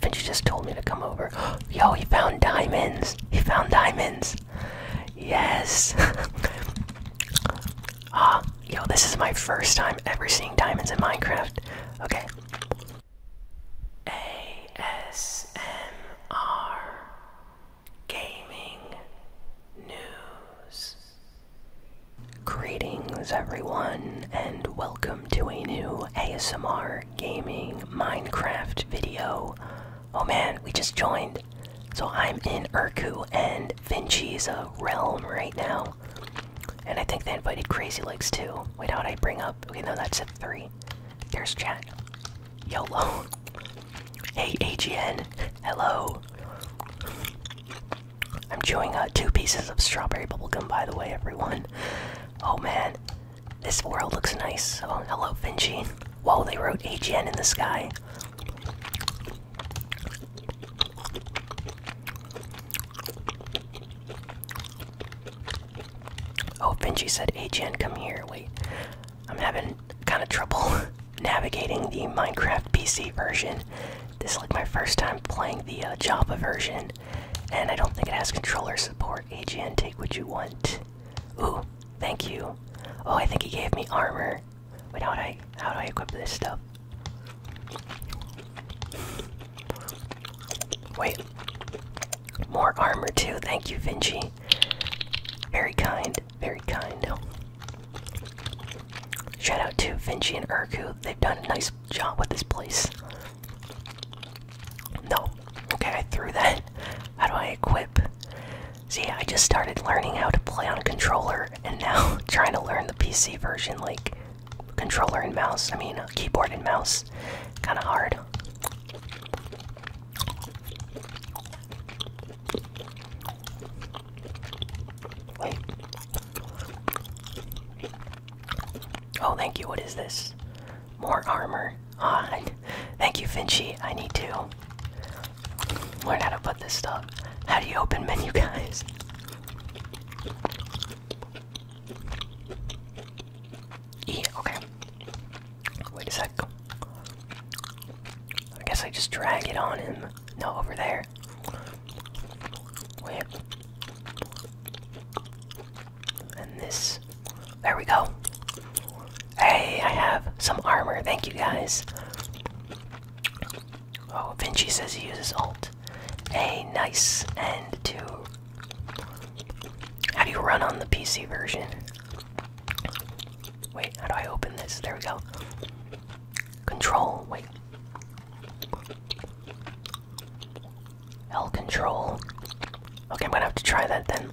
Fitch just told me to come over. Yo, he found diamonds. He found diamonds. Yes. Ah, yo, this is my first time ever seeing diamonds in Minecraft. Okay. ASMR Gaming News. Greetings, everyone, and welcome to a new ASMR gaming Minecraft video. Oh man, we just joined. So I'm in Urku and Vinci's uh, realm right now. And I think they invited Crazy Legs too. Wait, how would I bring up? Okay, no, that's a three. There's chat. YOLO. Hey, AGN. Hello. I'm chewing uh, two pieces of strawberry bubblegum, by the way, everyone. Oh man, this world looks nice. Oh, hello, Vinci. Whoa, they wrote AGN in the sky. Oh, Vinci said, AGN, come here. Wait, I'm having kind of trouble navigating the Minecraft PC version. This is like my first time playing the uh, Java version, and I don't think it has controller support power, take what you want. Ooh, thank you. Oh, I think he gave me armor. Wait, how do I how do I equip this stuff? Wait. More armor too, thank you, Vinci. Very kind, very kind. Shout out to Vinci and Urku. They've done a nice job with this place. No, Okay, I threw that. How do I equip? See, I just started learning how to play on a controller and now trying to learn the PC version, like controller and mouse. I mean, uh, keyboard and mouse. Kind of hard. Wait. Oh, thank you. What is this? More armor on. Thank you, Finchy. I need to learn how to put this stuff. How do you open menu, guys? E, okay. Wait a sec. I guess I just drag it on him. No, over there. Wait. And this. There we go. Hey, I have some armor. Thank you guys. Oh, Vinci says he uses alt. A nice and two. How do you run on the PC version? Wait, how do I open this? There we go. Control, wait. L control. Okay, I'm gonna have to try that then.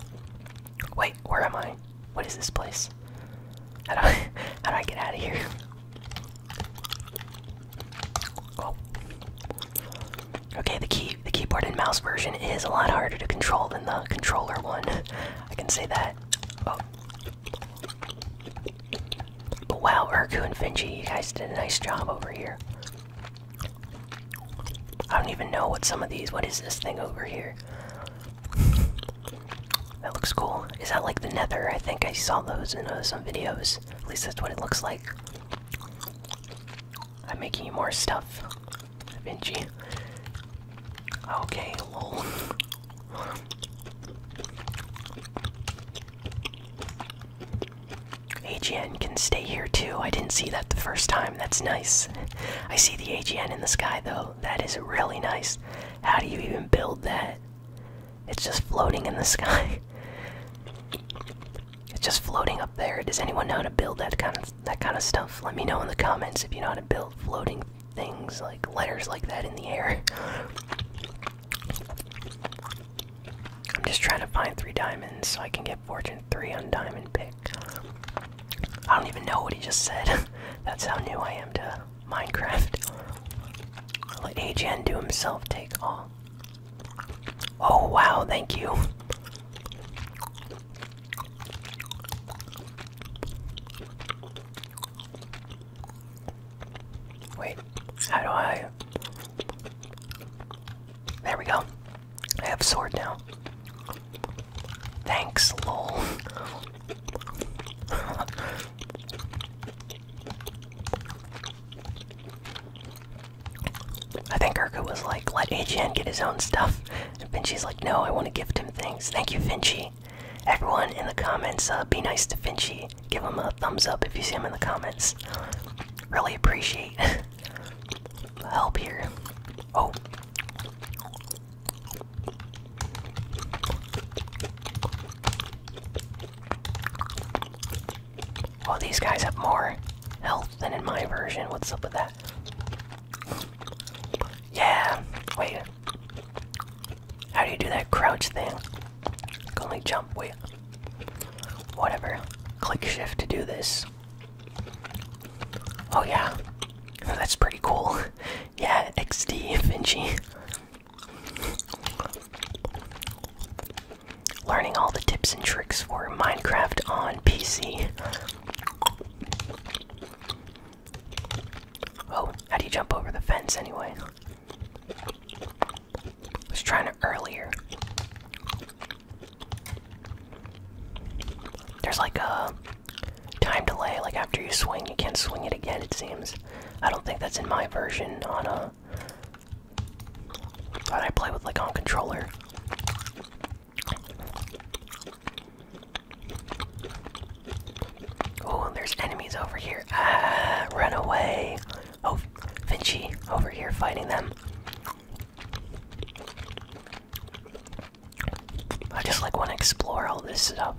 Wait, where am I? What is this place? How do I, how do I get out of here? Oh. Okay, the key, the keyboard and mouse version is a lot harder to control than the controller one. I can say that. Oh. But wow, Urku and Finji, you guys did a nice job over here. I don't even know what some of these. What is this thing over here? That looks cool. Is that like the nether? I think I saw those in uh, some videos. At least that's what it looks like. I'm making you more stuff, da Okay, lol. AGN can stay here too. I didn't see that the first time. That's nice. I see the AGN in the sky though. That is really nice. How do you even build that? It's just floating in the sky. It's just floating up there. Does anyone know how to build that kind of that kind of stuff? Let me know in the comments if you know how to build floating things like letters like that in the air. I'm just trying to find three diamonds so I can get fortune three on diamond pick. I don't even know what he just said. That's how new I am to Minecraft. Let A J do himself take all. Oh wow, thank you. Wait, how do I there we go. I have sword now. Thanks, lol. I think Urku was like, let AGN get his own stuff. And Finchie's like, no, I want to gift him things. Thank you, Finchie. Everyone in the comments, uh, be nice to Finchie. Give him a thumbs up if you see him in the comments. Really appreciate help here. Oh. Oh, these guys have more health than in my version. What's up with that? Yeah, wait. How do you do that crouch thing? Can only jump, wait. Whatever. Click shift to do this. Oh yeah, oh, that's pretty cool. yeah, XD Finchie. Learning all the tips and tricks for Minecraft on PC. Oh, how do you jump over the fence anyway? I was trying to earlier. There's like a time delay, like after you swing, you can't swing it again, it seems. I don't think that's in my version on a. That I play with, like on controller. Oh, there's enemies over here. Ah, run away. Oh, Vinci over here fighting them. I just like want to explore all this stuff.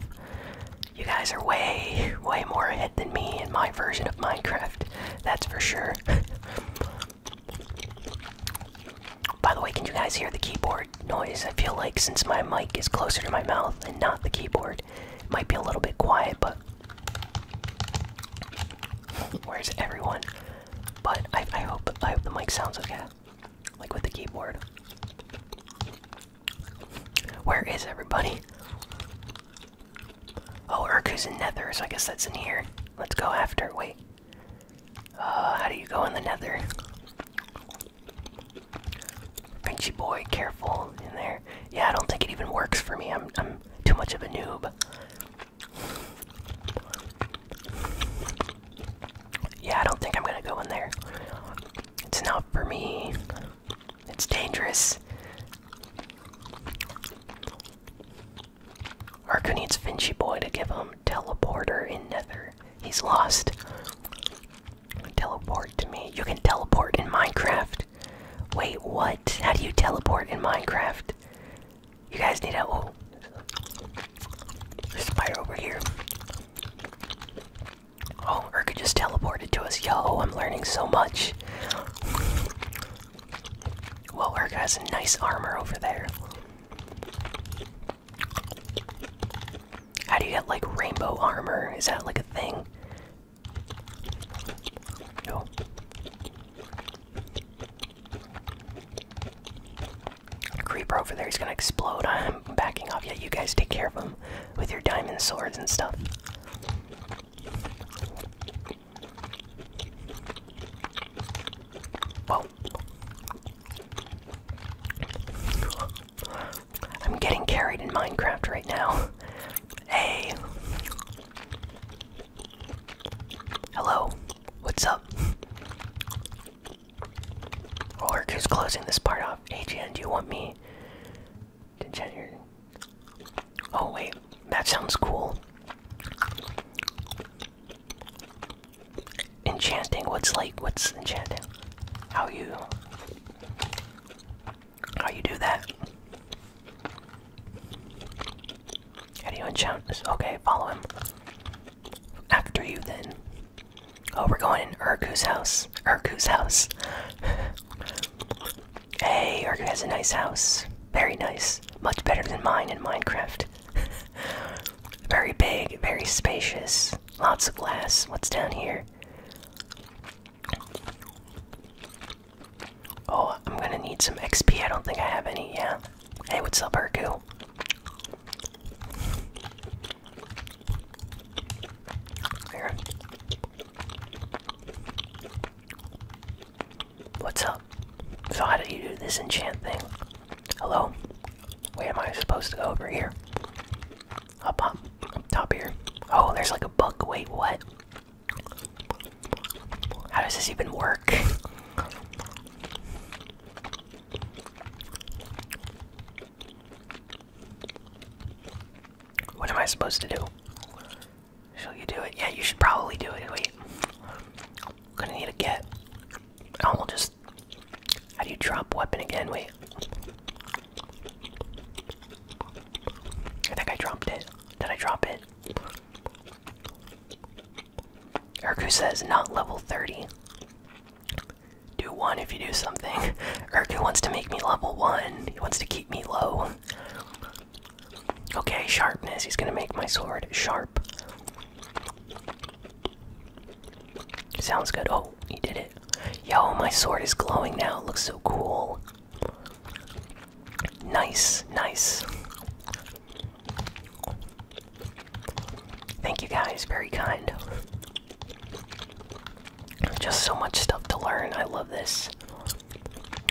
You guys are way, way more ahead than me in my version of Minecraft. That's for sure. By the way, can you guys hear the keyboard noise? I feel like since my mic is closer to my mouth and not the keyboard, it might be a little bit quiet, but. Where's everyone? But I, hope I hope the mic sounds okay, like with the keyboard. Where is everybody? Oh, Urku's in Nether, so I guess that's in here. Let's go after. Wait. Uh, how do you go in the Nether? Pinchy boy, careful in there. Yeah, I don't think it even works for me. I'm I'm too much of a noob. Yeah, I don't think I'm gonna go in there. It's not for me. It's dangerous. Arco needs Vinci Boy to give him teleporter in Nether. He's lost. Teleport to me. You can teleport in Minecraft. Wait, what? How do you teleport in Minecraft? You guys need a oh, spider over here. Oh, Urka just teleported to us. Yo, I'm learning so much. Well, Urka has a nice armor over there. How do you get like rainbow armor? Is that like a thing? Creeper over there, he's gonna explode. I'm backing off. Yeah, you guys take care of him with your diamond swords and stuff. Whoa. I'm getting carried in Minecraft right now. Hey. Hello, what's up? Orc is closing this part off. AGN, do you want me to chat your. Oh, wait, that sounds cool. Enchanting, what's like, what's enchanting? How you. How you do that? How do you enchant Okay, follow him. After you, then. Oh, we're going in Urku's house. Urku's house. hey, Urku has a nice house. Very nice. Much better than mine in Minecraft. very big, very spacious. Lots of glass. What's down here? Oh, I'm gonna need some XP. I don't think I have any. Yeah. Hey, what's up, Herku? Here. What's up? So how do you do this enchant thing? Hello? Where am I supposed to go over here? Up up up top here. Oh, there's like a book. Wait, what? How does this even work? What am I supposed to do? Shall you do it? Yeah, you should probably do it. Wait. I'm gonna need a get. Oh, we'll just. How do you drop weapon again? Wait. I think I dropped it. Did I drop it? Erku says not level 30. Do one if you do something. Erku wants to make me level one. He wants to keep me low. Okay, sharpness. He's gonna make my sword sharp. Sounds good. Oh, he did it. Yo, my sword is glowing now. It looks so cool. Nice, nice. Thank you guys, very kind. Just so much stuff to learn. I love this.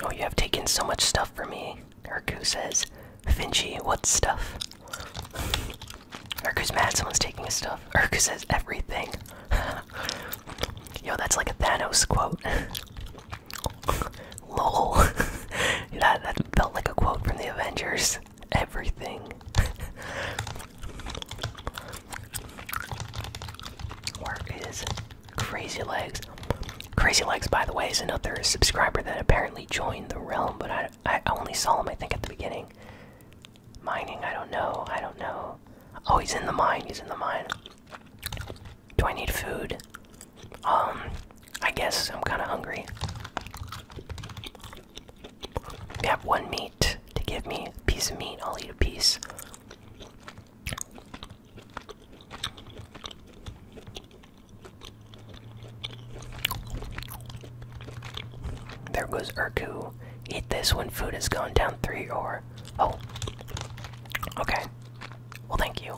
Oh, you have taken so much stuff from me. Erku says, Finchie, what stuff? Erku's mad someone's taking his stuff. Erku says, everything. Yo, that's like a Thanos quote. lol that, that felt like a quote from the avengers everything where is crazy legs crazy legs by the way is another subscriber that apparently joined the realm but i, I only saw him i think at the beginning mining i don't know i don't know oh he's in the mine he's in the mine do i need food um I guess I'm kind of hungry. have one meat to give me. A piece of meat. I'll eat a piece. There goes Urku. Eat this when food has gone down three or. Oh. Okay. Well, thank you.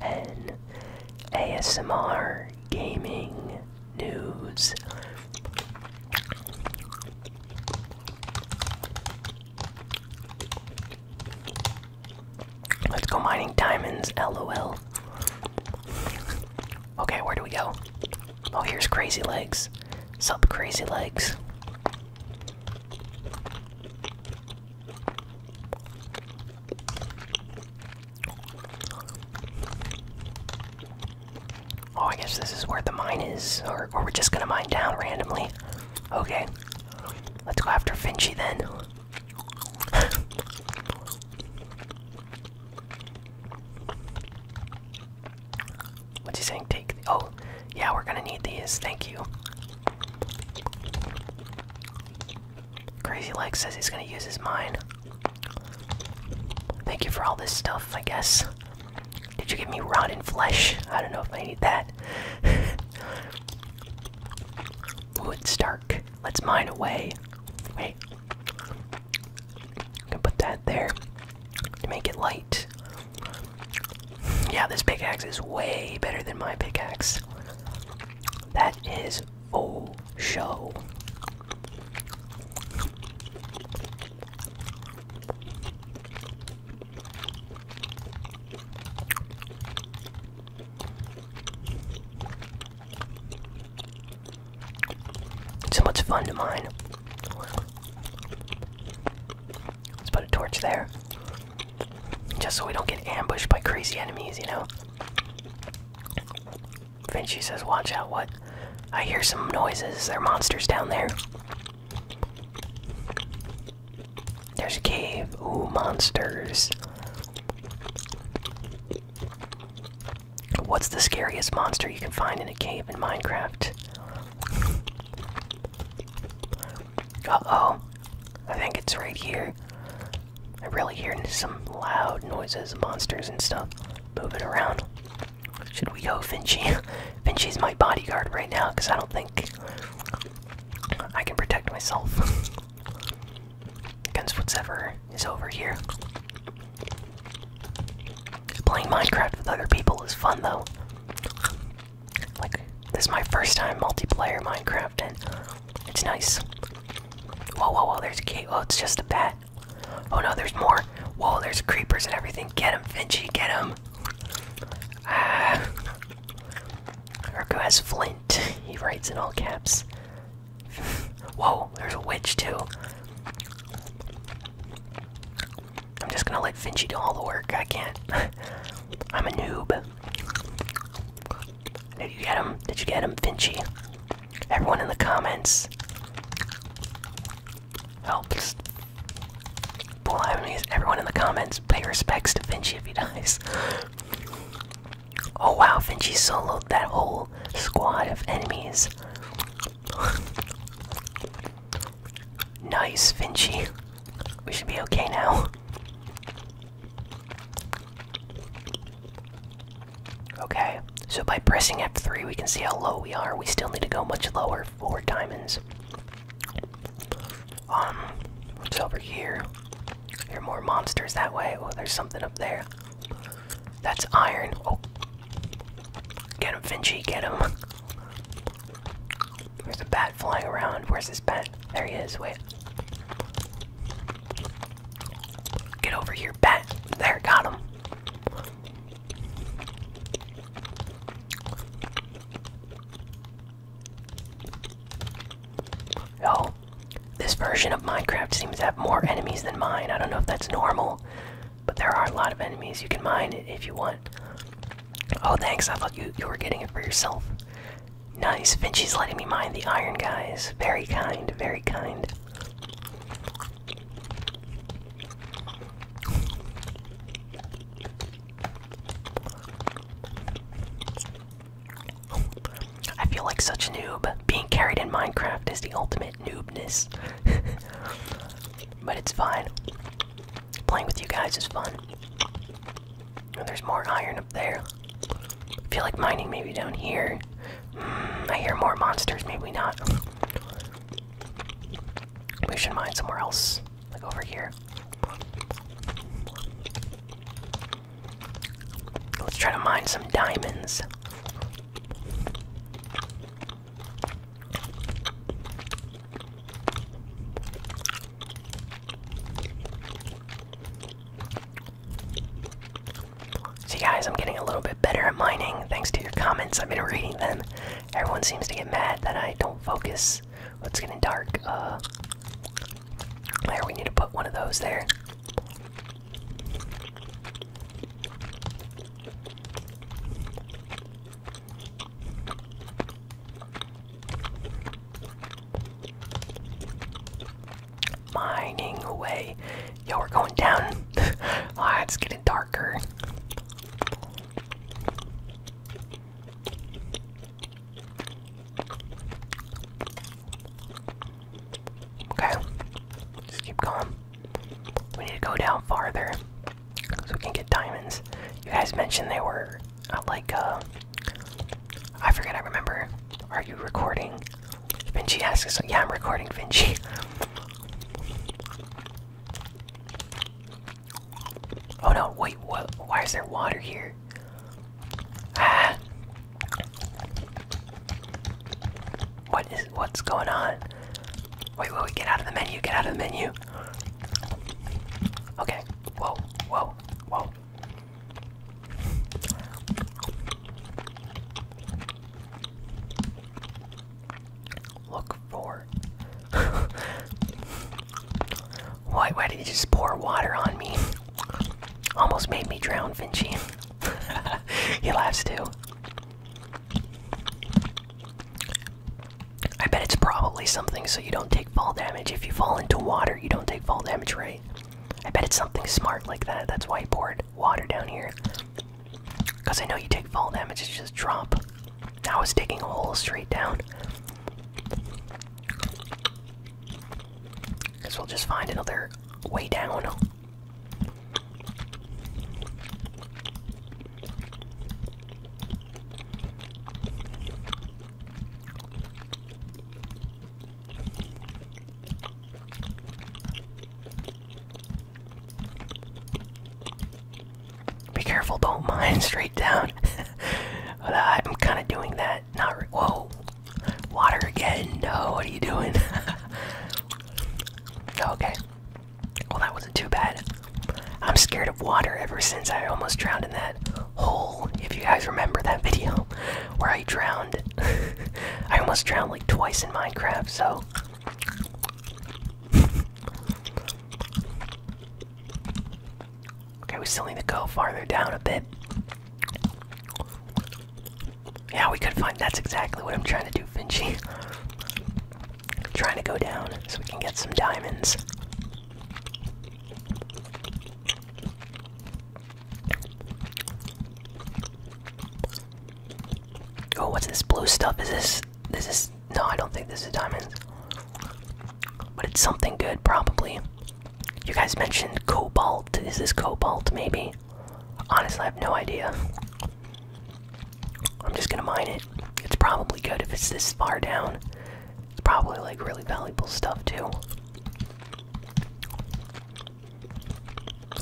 N ASMR Gaming News. Let's go mining diamonds, lol. Okay, where do we go? Oh, here's Crazy Legs. Sup, Crazy Legs. Oh, I guess this is where the mine is, or, we're just gonna mine down randomly. Okay, let's go after Finchy then. What's he saying? Take. The oh, yeah, we're gonna need these. Thank you. Crazy Legs says he's gonna use his mine. Thank you for all this stuff, I guess. Did you give me rotten flesh? I don't know if I need that. Wood Stark. Let's mine away. Wait. I'm gonna put that there to make it light. Yeah, this pickaxe is way better than my pickaxe. That is Oh, show. So much fun to mine. Let's put a torch there. Just so we don't get ambushed by crazy enemies, you know? Vinci says, watch out, what? I hear some noises. There are monsters down there. There's a cave. Ooh, monsters. What's the scariest monster you can find in a cave in Minecraft? Uh oh. I think it's right here. I am really hearing some loud noises, monsters and stuff moving around. Should we go Vinci? Vinci's my bodyguard right now because I don't think I can protect myself against whatever is over here. Playing Minecraft with other people is fun though. Like, this is my first time multiplayer Minecraft and it's nice. Whoa, whoa, whoa, there's a cat. Oh, it's just a bat. Oh no, there's more. Whoa, there's creepers and everything. Get him, Finchy, get him. Ah. Urku has Flint. He writes in all caps. Whoa, there's a witch too. I'm just gonna let Finchy do all the work. I can't. I'm a noob. Did you get him? Did you get him, Finchy? Everyone in the comments helps. Bull I everyone in the comments pay respects to Finchie if he dies. Oh wow, Finchie soloed that whole squad of enemies. nice, Finchie. We should be okay now. Okay, so by pressing F3, we can see how low we are. We still need to go much lower for diamonds. Um, what's over here? There are more monsters that way. Oh, there's something up there. That's iron. Oh, get him, Vinci, get him. There's a bat flying around. Where's this bat? There he is. Wait. Get over here, bat. There, got him. Oh, this version of Minecraft seems to have more enemies than mine. I don't know if that's normal, but there are a lot of enemies. You can mine if you want. Oh, thanks. I thought you, you were getting it for yourself. Nice. Vinci's letting me mine the iron, guys. Very kind, very kind. I feel like such a noob. Being carried in Minecraft is the ultimate noobness. but it's fine. Playing with you guys is fun. And there's more iron up there. I feel like mining maybe down here. Hmm, I hear more monsters, maybe not. We should mine somewhere else, like over here. Let's try to mine some diamonds. See, guys, I'm getting a little bit better at mining thanks to your comments. I've been reading them. Everyone seems to get mad that I don't focus. Oh, it's getting dark. Uh, there, we need to put one of those there mining away. Yo, we're going down. Ah, it's getting darker. Okay, just keep going. We need to go down farther so we can get diamonds. You guys mentioned they were uh, like, uh, I forget, I remember. Are you recording? Vinci asks, yeah, I'm recording, Vinci. Oh no, wait, what? Why is there water here? Ah. What is, what's going on? Wait, wait, wait, get out of the menu, get out of the menu. Okay, whoa, whoa, whoa. Look for. why, did you just pour water on me? Almost made me drown, Vinci. he laughs too. I bet it's probably something so you don't take fall damage. If you fall into water, you don't take fall damage, right? I bet it's something smart like that. That's whiteboard water down here. Because I know you take fall damage, it's just drop. I was digging a hole straight down. because we'll just find another way down. Be careful, don't mine straight down. Uh, I'm kind of doing that. Not whoa, water again. No, what are you doing? okay. Well, that wasn't too bad. I'm scared of water ever since I almost drowned in that hole. If you guys remember that video where I drowned I almost drowned like twice in Minecraft, so. okay, we still need to go farther down a bit. Yeah, we could find. That's exactly what I'm trying to do, Vinci. trying to go down so we can get some diamonds. Oh, what's this blue stuff? Is this. This is. No, I don't think this is diamonds. But it's something good, probably. You guys mentioned cobalt. Is this cobalt, maybe? Honestly, I have no idea. I'm just gonna mine it. It's probably good if it's this far down. It's probably like really valuable stuff, too.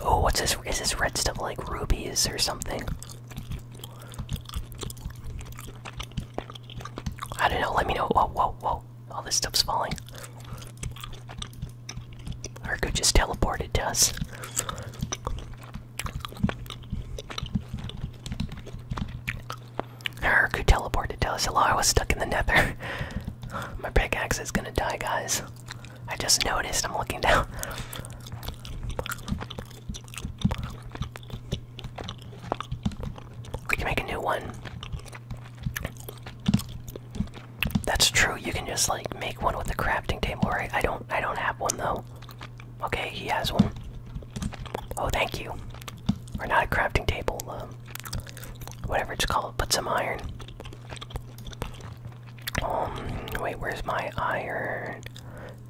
Oh, what's this? Is this red stuff like rubies or something? I don't know. Let me know. Whoa, whoa, whoa! All this stuff's falling. Argo just teleported to us. Argo teleported to us. Hello, I was stuck in the nether. My pickaxe is gonna die, guys. I just noticed I'm looking down. We can make a new one. That's true. You can just like make one with a crafting table, right? I don't I don't have one though. Okay, he has one. Oh, thank you. We're not a crafting table, um, whatever it's called, put some iron. Um, wait, where's my iron?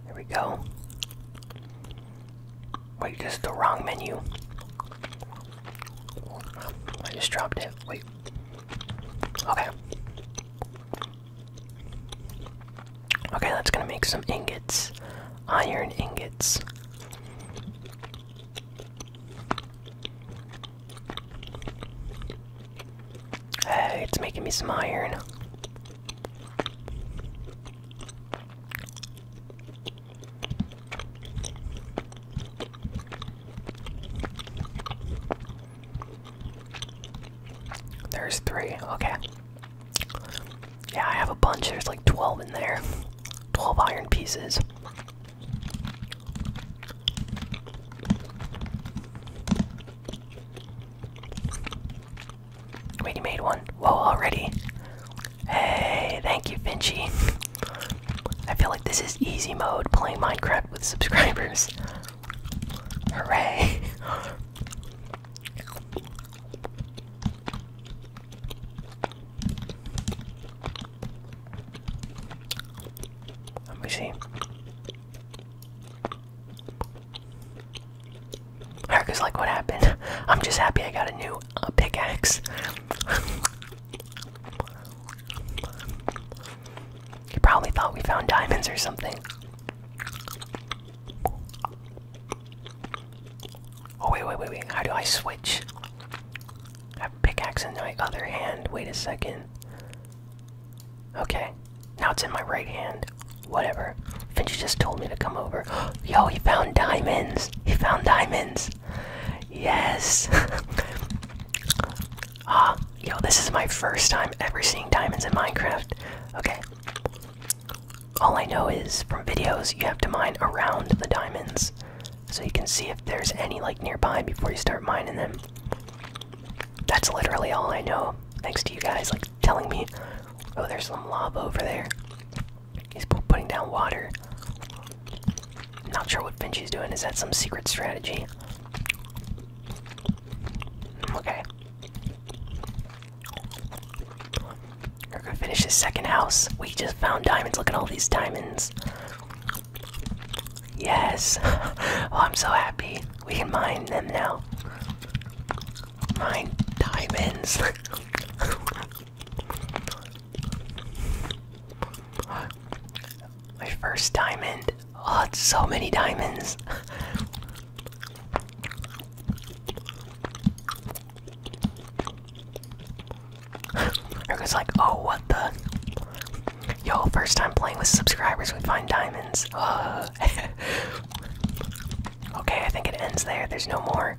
There we go. Wait, this is the wrong menu. I just dropped it. Wait. Okay. Okay, that's gonna make some ingots. Iron ingots. Uh, it's making me some iron. There's three, okay. Yeah, I have a bunch. There's like 12 in there. 12 iron pieces. Wait, he made one. Whoa, already. Hey, thank you, Finchy. I feel like this is easy mode playing Minecraft with subscribers. Hooray! Let me see. Erica's like, what happened? I'm just happy I got a new uh, pickaxe. you probably thought we found diamonds or something. Oh, wait, wait, wait, wait. How do I switch? have pickaxe in my other hand. Wait a second. Okay, now it's in my right hand. Whatever. Finch just told me to come over. Yo, he found diamonds! He found diamonds! Yes! ah, yo, this is my first time ever seeing diamonds in Minecraft. Okay. All I know is from videos, you have to mine around the diamonds. So you can see if there's any like nearby before you start mining them. That's literally all I know. Thanks to you guys, like telling me, oh, there's some lava over there. He's putting down water. Not sure what Vinci's doing. Is that some secret strategy? Okay. We're gonna finish this second house. We just found diamonds. Look at all these diamonds. Yes. oh, I'm so happy. We can mine them now. Mine diamonds. My first diamond. Oh, it's so many diamonds. I was like, oh, what the? Yo, first time playing with subscribers, we find diamonds. okay, I think it ends there. There's no more.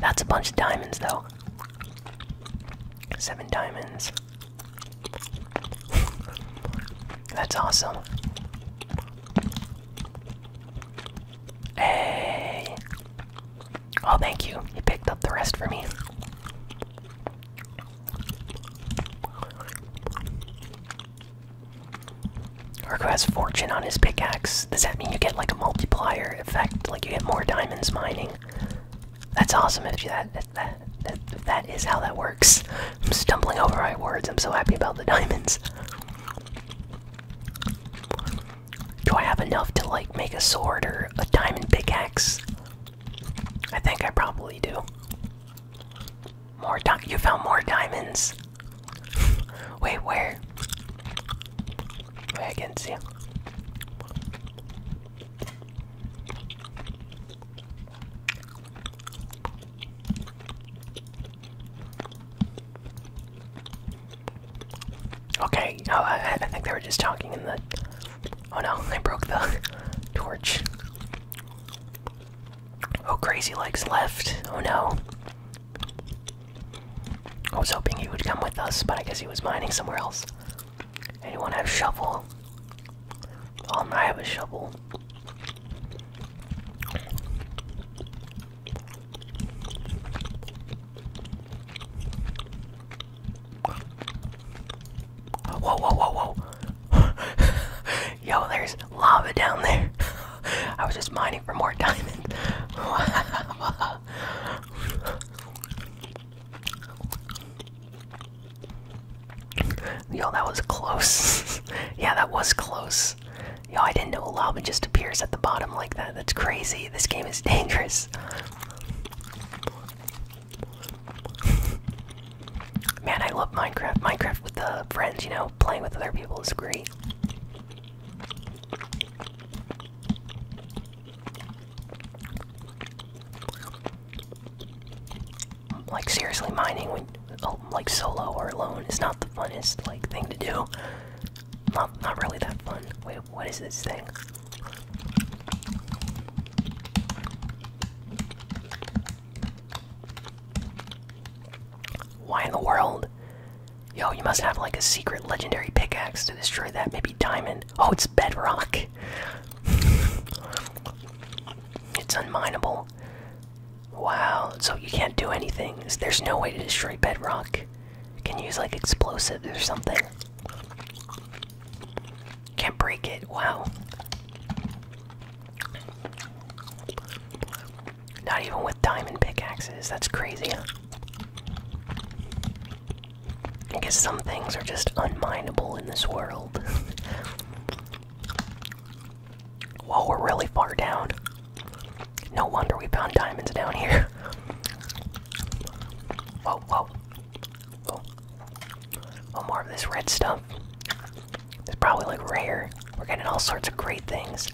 That's a bunch of diamonds, though. Seven diamonds. That's awesome. Hey. Oh, thank you. You picked up the rest for me. Or who has fortune on his pickaxe? Does that mean you get like a multiplier effect? Like you get more diamonds mining? That's awesome if you that that that is how that works. I'm stumbling over my words. I'm so happy about the diamonds. Do I have enough to like make a sword or a diamond pickaxe? I think I probably do. More di you found more diamonds. Wait, where? Wait, I can see. Okay, oh, I, I think they were just talking in the. Oh no, I broke the torch. Oh, crazy legs left. Oh no. I was hoping he would come with us, but I guess he was mining somewhere else. Anyone have a shovel? Um, I have a shovel. Whoa, whoa, whoa, whoa. Yo, there's lava down there. I was just mining for more diamonds. Yo, that was close. yeah, that was close. Yo, I didn't know lava just appears at the bottom like that. That's crazy. This game is dangerous. Man, I love Minecraft. Minecraft with the friends, you know, playing with other people is great. Like seriously, mining when oh, like solo or alone is not the funnest like thing to do. Not not really that fun. Wait, what is this thing? Why in the world? Yo, you must have like a secret legendary pickaxe to destroy that. Maybe diamond. Oh, it's bedrock. it's unminable. Wow, so you can't do anything. There's no way to destroy bedrock. You can use like explosives or something. Can't break it. Wow. Not even with diamond pickaxes. That's crazy. I guess some things are just unminable in this world. Whoa, we're really far down. No wonder we found diamonds down here. Whoa, whoa. Oh, more of this red stuff. It's probably like rare. We're getting all sorts of great things.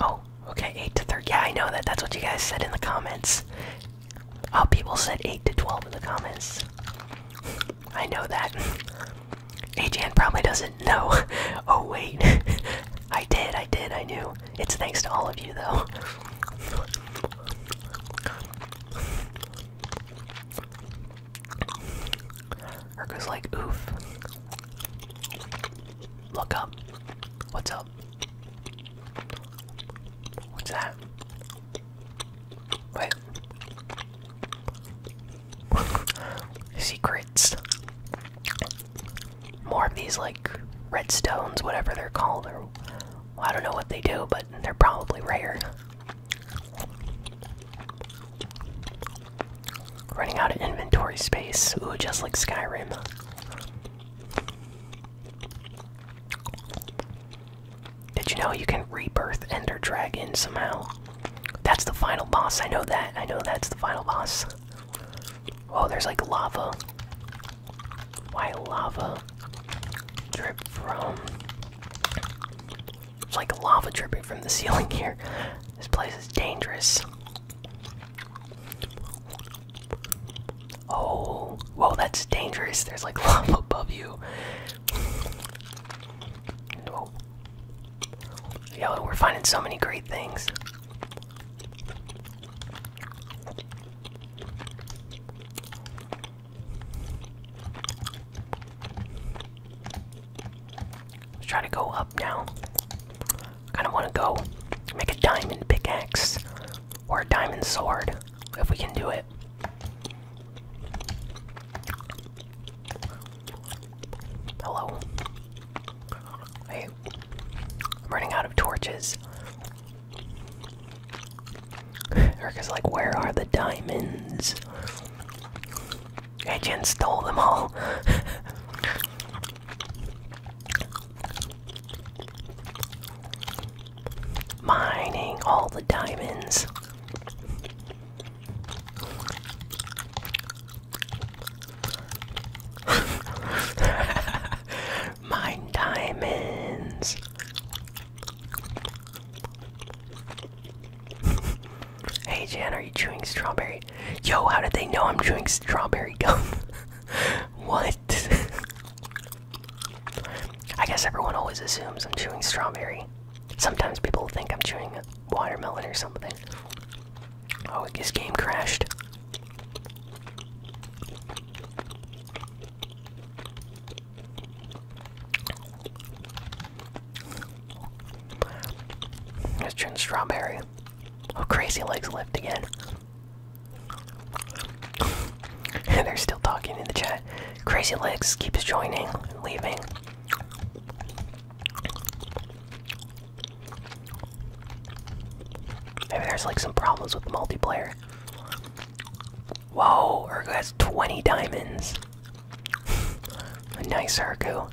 Oh, okay, 8 to 30. Yeah, I know that. That's what you guys said in the comments. Oh, people said 8 to 12 in the comments. I know that. AGN probably doesn't no. Oh, wait. I did, I did, I knew. It's thanks to all of you, though. Urka's like, oof. Look up. What's up? What's that? Wait. Secrets more of these like redstones, whatever they're called, I don't know what they do, but they're probably rare. Running out of inventory space, ooh, just like Skyrim. Did you know you can rebirth Ender Dragon somehow? That's the final boss, I know that, I know that's the final boss. Oh, there's like lava. Why lava drip from? It's like lava dripping from the ceiling here. This place is dangerous. Oh, whoa, that's dangerous. There's like lava above you. No. Yo, we're finding so many great things. Let's try to go up now. I kinda wanna go make a diamond pickaxe or a diamond sword if we can do it. Hello. Hey running out of torches. Erica's like, where are the diamonds? Agent stole them all. Mining all the diamonds. Mine diamonds. hey Jan, are you chewing strawberry? Yo, how did they know I'm chewing strawberry gum? what? I guess everyone always assumes I'm chewing strawberry. Sometimes people think I'm chewing watermelon or something. Oh, this game crashed. Let's turn strawberry. Oh, crazy legs left again. And they're still talking in the chat. Crazy legs keeps joining, leaving. Maybe there's like some problems with multiplayer. Whoa, Urgu has 20 diamonds. A nice Urgu.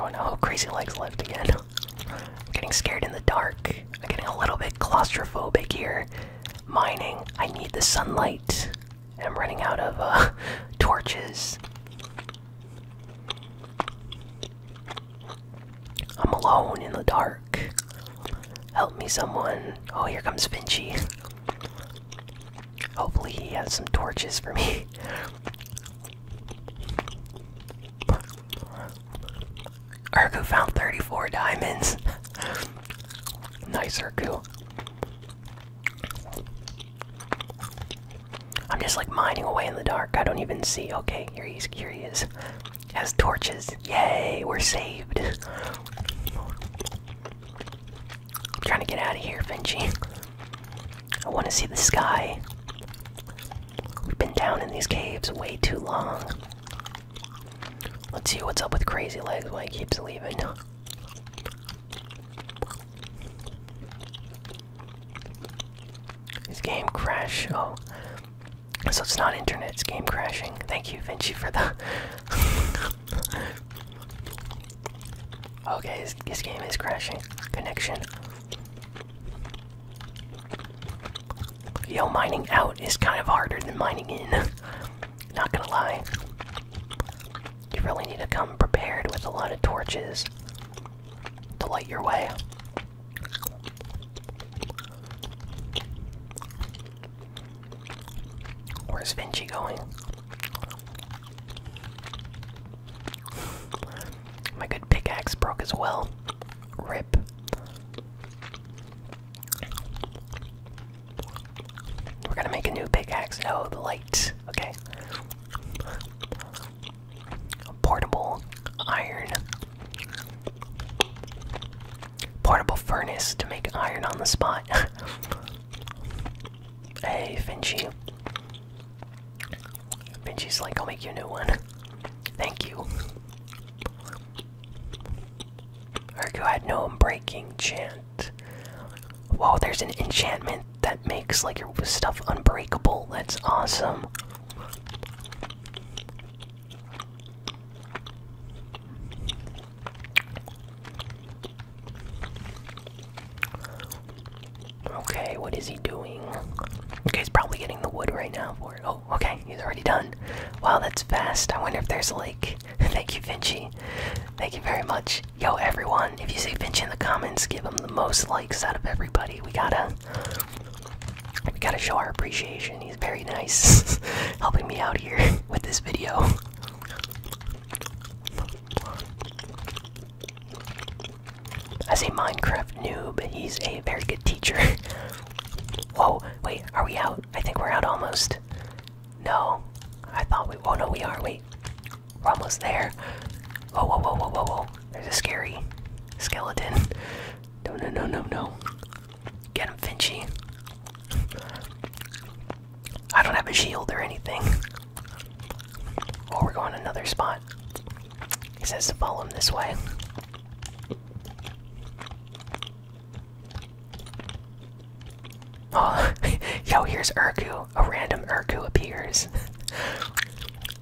Oh no, crazy legs left again. I'm getting scared in the dark. I'm getting a little bit claustrophobic here mining. I need the sunlight. I'm running out of uh, torches. I'm alone in the dark. Help me, someone. Oh, here comes Vinci. Hopefully, he has some torches for me. Urku found 34 diamonds. nice, Urku. I'm just like mining away in the dark. I don't even see. Okay, here he's curious. Has torches. Yay, we're saved. I'm trying to get out of here, Vinci. I want to see the sky. We've been down in these caves way too long. Let's see what's up with Crazy Legs when he keeps leaving. His game crash. Oh, so it's not internet. It's game crashing. Thank you, Vinci, for the. okay, his, his game is crashing. Connection. Yo, mining out is kind of harder than mining in. Not gonna lie. You really need to come prepared with a lot of torches to light your way. Where's Vinci going? My good pickaxe broke as well. Rip. We're gonna make a new pickaxe. Oh, the light. Okay. Portable iron. Portable furnace to make iron on the spot. hey, Finchy. Finchy's like, I'll make you a new one. Thank you. Ergo had no breaking chant. Whoa, there's an enchantment that makes like your stuff unbreakable. That's awesome. Okay, what is he doing? Okay, he's probably getting the wood right now. Oh, okay, he's already done. Wow, that's fast. I wonder if there's a lake. Thank you, Vinci. Thank you very much. Yo, everyone, if you see Vinci in the comments, give him the most likes out of everybody. We gotta, we gotta show our appreciation. He's very nice, helping me out here with this video. As a Minecraft noob, he's a very good teacher. Whoa, wait, are we out? I think we're out almost. No. I thought we. Oh no, we are. Wait. We're almost there. Whoa, whoa, whoa, whoa, whoa, whoa. There's a scary skeleton. No, no, no, no, no. Get him, Finchy. I don't have a shield or anything. Oh, we're going another spot. He says to follow him this way. Oh, yo, here's Urku. A random Urku appears.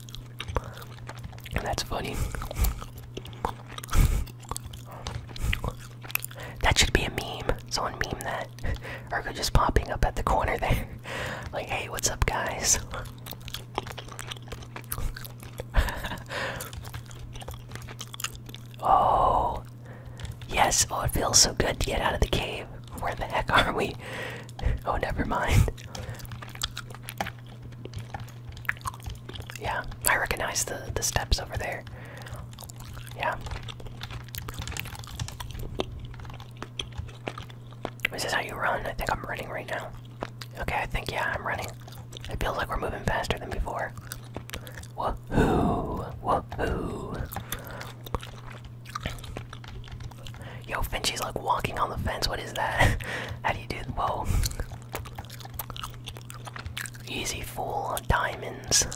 that's funny. that should be a meme. Someone meme that. Urku just popping up at the corner there. like, hey, what's up, guys? Oh, yes. Oh, it feels so good to get out of the cave. Where the heck are we? Oh, never mind. Yeah, I recognize the the steps over there. Yeah. Is this how you run? I think I'm running right now. Okay, I think yeah, I'm running. It feels like we're moving faster than before. Woohoo! Woohoo! Yo, Finchie's like walking on the fence. What is that? How do you do? Whoa! Easy fool, diamonds.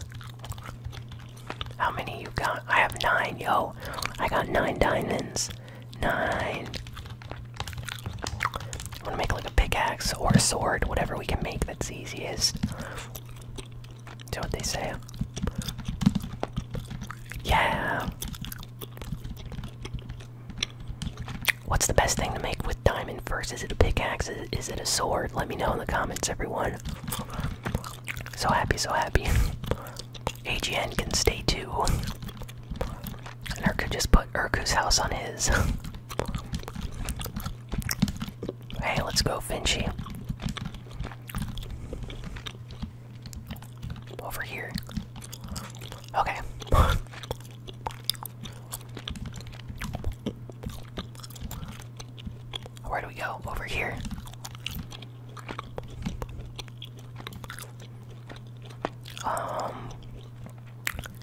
How many you got? I have nine, yo. I got nine diamonds. Nine i to make like a pickaxe or a sword, whatever we can make that's easiest. Do what they say. Yeah. What's the best thing to make with diamond first? Is it a pickaxe? Is it a sword? Let me know in the comments, everyone. So happy, so happy. AGN can stay too. And Urku just put Erku's house on his. Hey, let's go, Finchy. Over here. Okay. Where do we go? Over here. Um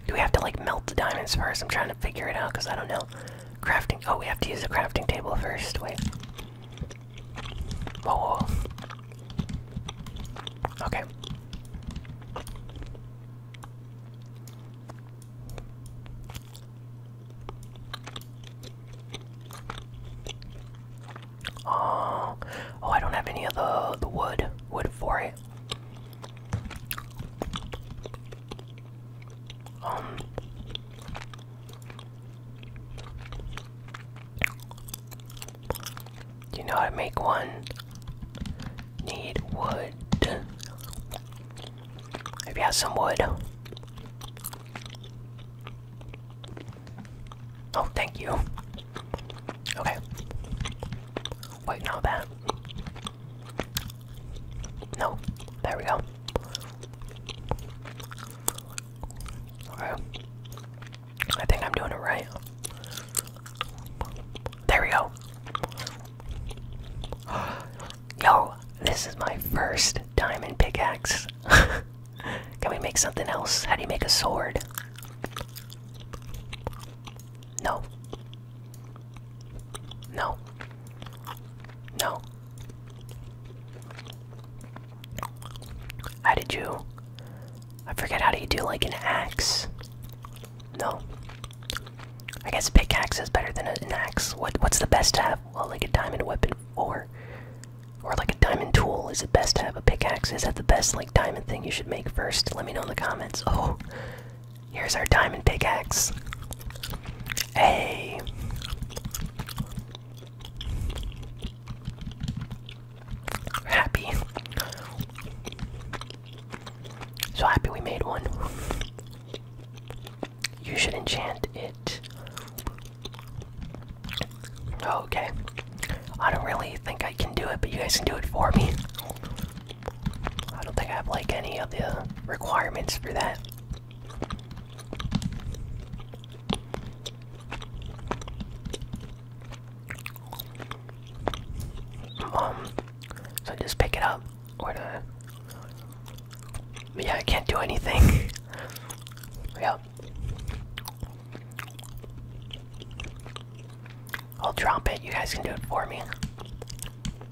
do we have to like melt the diamonds first? I'm trying to figure it out because I don't know. Crafting. Oh, we have to use the crafting table first. Wait. Whoa. Okay. Oh, oh! I don't have any of the the wood wood for it. Um, you know how to make one? Need wood. Have you got some wood? Oh, thank you. Okay. Wait, now that. No, there we go. I think I'm doing it right. There we go. Yo, this is my first diamond pickaxe. Can we make something else? How do you make a sword? No. No. No. How did you? I forget how do you do like an axe? No. I guess a pickaxe is better than an axe. What what's the best to have? Well, like a diamond weapon or or like a diamond tool. Is it best to have a pickaxe? Is that the best like diamond thing you should make first? Let me know in the comments. Oh, Here's our diamond pickaxe. Hey. Happy. So happy we made one. You should enchant it. Okay. I don't really think I can do it, but you guys can do it for me. I don't think I have like any of the requirements for that. Um, so just pick it up or the yeah, I can't do anything. yep. I'll drop it. You guys can do it for me.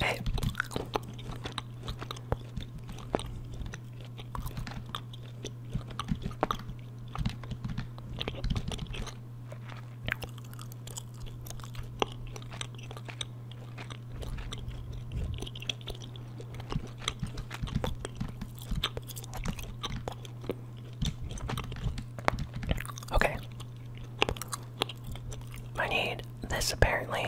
Hey. Okay. I need this apparently.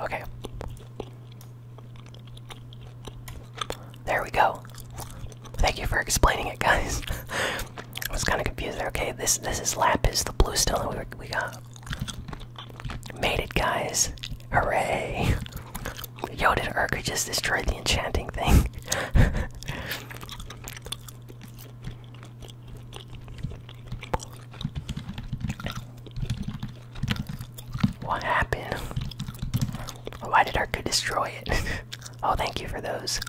Okay. There we go. Thank you for explaining it, guys. I was kind of confused there. Okay, this this is lapis, the blue stone we, we got. Made it, guys. Hooray. Yoda did Urka just destroyed the enchanting thing? What happened? Why did Arca destroy it? oh, thank you for those.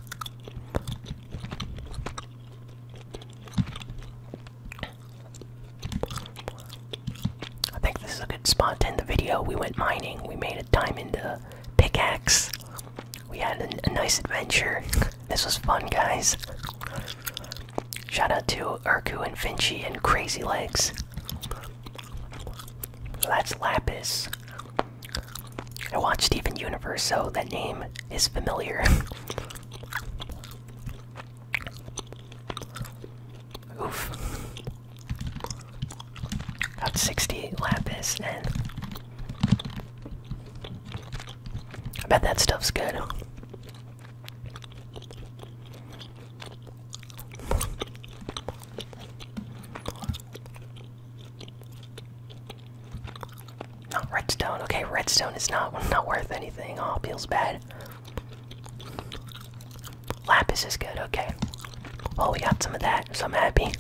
I think this is a good spot to end the video. We went mining, we made a diamond uh, pickaxe, we had a, nice adventure. This was fun, guys. Shout out to Urku and Finchie and Crazy Legs. that's Lapis. I watched Steven Universe, so that name is familiar. Oof. Got 60 lapis, and I bet that stuff's good. Not redstone. Okay, redstone is not not worth anything. Oh, feels bad. Lapis is good. Okay. Oh, we got some of that, so I'm happy.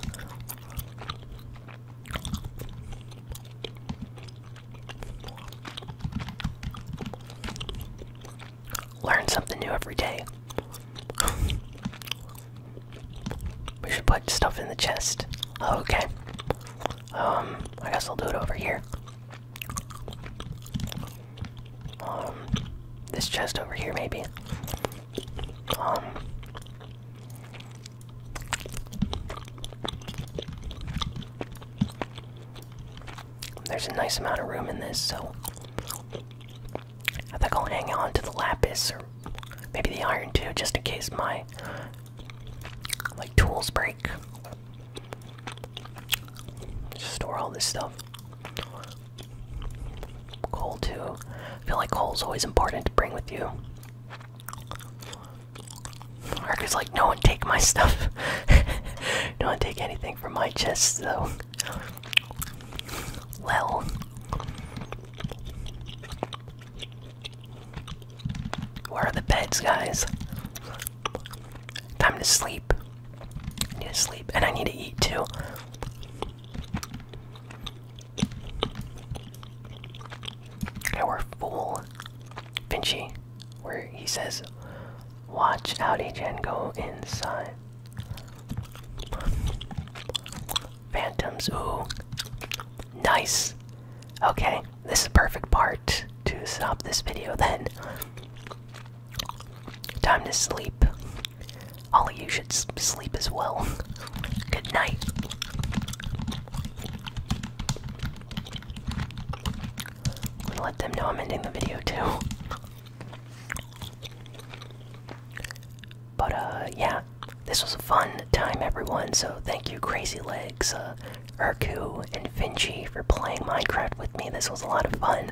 Learn something new every day. we should put stuff in the chest. okay. Um, I guess I'll do it over here. Um, this chest over here, maybe. Um, there's a nice amount of room in this, so I think I'll hang on to the lapis or maybe the iron too, just in case my like tools break. store all this stuff coal too. I feel like coal's always important to bring with you. Mark is like, no one take my stuff. no one take anything from my chest though. Well, Where are the beds, guys? Time to sleep. I need to sleep, and I need to eat too. Our fool Vinci, where he says, Watch out, Agen, go inside. Phantoms, ooh. Nice! Okay, this is the perfect part to stop this video then. Time to sleep. Holly, oh, you should sleep as well. Good night. let them know I'm ending the video too. But uh, yeah, this was a fun time, everyone. So thank you, Crazy Legs, uh, Urku, and Finchi for playing Minecraft with me. This was a lot of fun.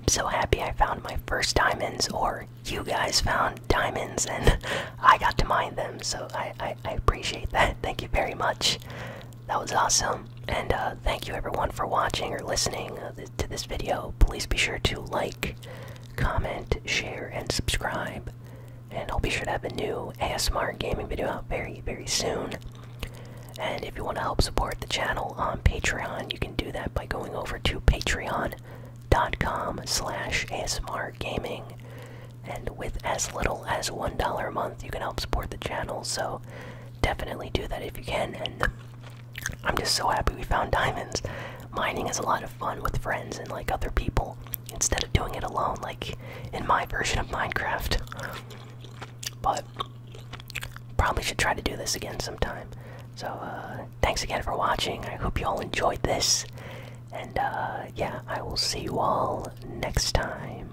I'm so happy I found my first diamonds, or you guys found diamonds and I got to mine them, so I, I, appreciate that. Thank you very much. That was awesome. And uh, thank you everyone for watching or listening uh, to this video. Please be sure to like, comment, share, and subscribe. And I'll be sure to have a new ASMR gaming video out very, very soon. And if you want to help support the channel on Patreon, you can do that by going over to Patreon patreon.com slash asmr gaming and with as little as one dollar a month you can help support the channel so definitely do that if you can and i'm just so happy we found diamonds mining is a lot of fun with friends and like other people instead of doing it alone like in my version of minecraft but probably should try to do this again sometime so uh, thanks again for watching. I hope you all enjoyed this. And uh, yeah, I will see you all next time.